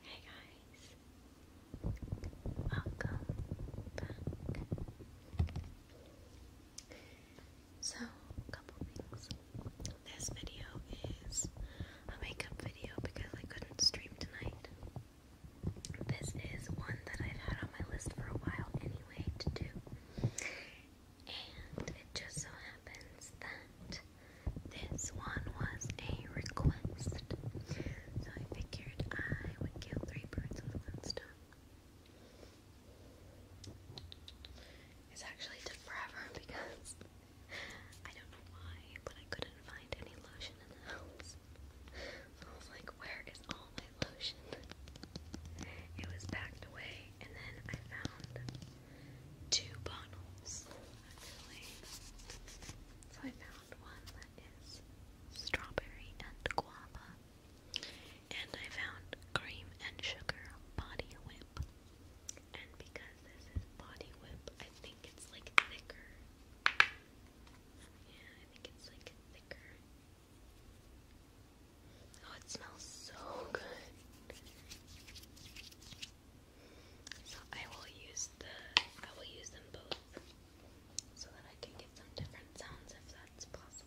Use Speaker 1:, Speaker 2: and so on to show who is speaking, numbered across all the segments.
Speaker 1: Hey guys, welcome back. So, a couple things. This video is a makeup video because I couldn't stream tonight. This is one that I've had on my list for a while anyway to do. And it just so happens that this one was a request. So I figured I would kill three birds with one stone. It's actually took forever because I don't know why, but I couldn't find any lotion in the house. So I was like, where is all my lotion? It was packed away, and then I found two bottles, actually. So I found one that is strawberry and guava, and I found cream and sugar body whip. And because this is body whip, I think it's like thicker. Yeah, I think it's like thicker. Oh, it smells so good. So I will use the I will use them both so that I can get some different sounds if that's possible.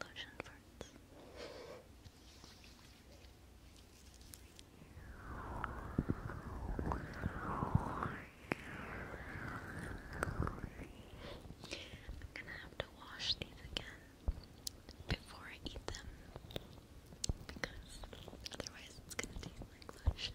Speaker 1: Lotion farts. I'm gonna have to wash these again before I eat them because otherwise it's gonna taste like lotion.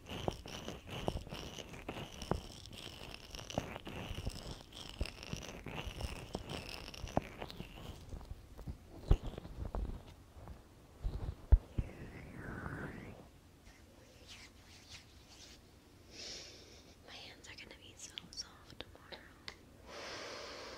Speaker 1: My hands are going to be so soft tomorrow.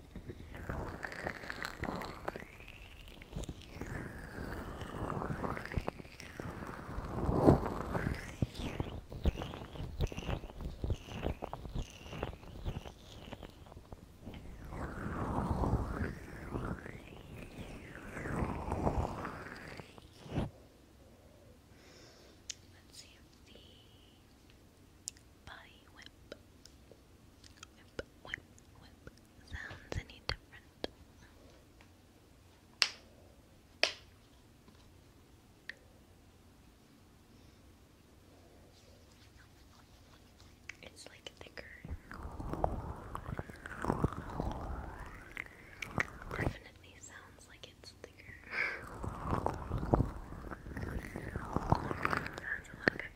Speaker 1: Let's see if the body whip, whip, whip, whip sounds any different? It's like thicker. Definitely sounds like it's thicker. That's a lot of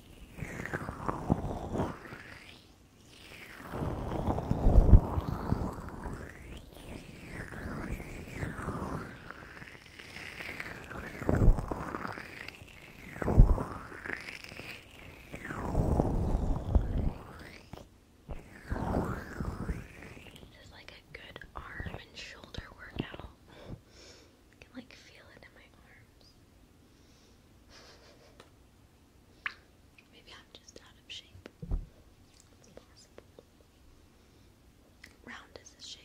Speaker 1: This is like a good arm and shoulder workout. I can like feel it in my arms. Maybe I'm just out of shape. Round is a shape.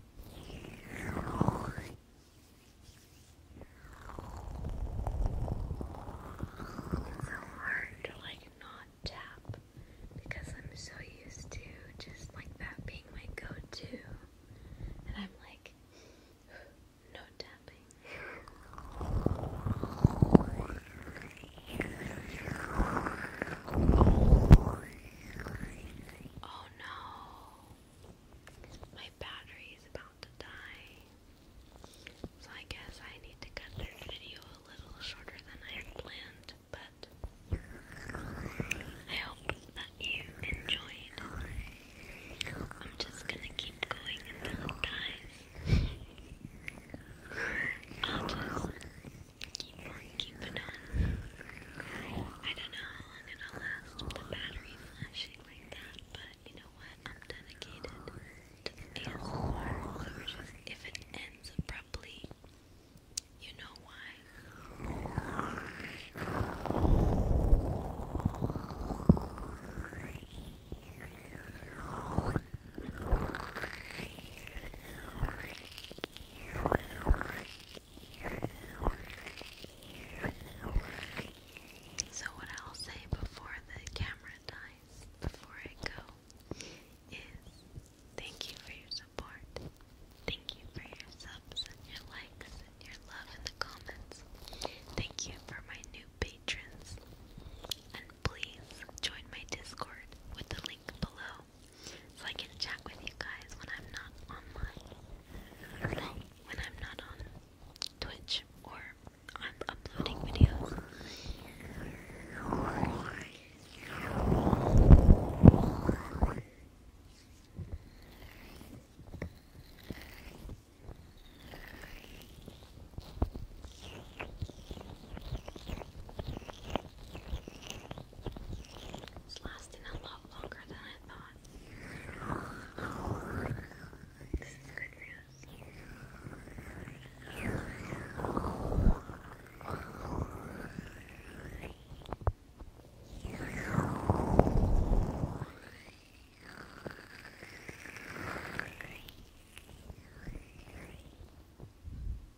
Speaker 1: It's so hard to like not tap because I'm so used to just like that being my go to. And I'm like, no tapping. Oh no. My battery is about to die. So I guess I need to cut the video a little shorter than I planned, but I hope that you enjoyed. I'm just gonna keep going until it dies. I'll just I don't know how long it'll last with the battery flashing like that, but you know what? I'm dedicated to the ASMR. if it ends abruptly, you know why. So, what I'll say before the camera dies, before I go, is thank you for your support. Thank you for your subs and your likes and your love in the comments. Thank you for my new patrons. And please join my Discord with the link below so I can chat with you guys when I'm not online. when I'm not on Twitch or I'm uploading videos. It's lasting a lot longer than I thought. This is good news. Good.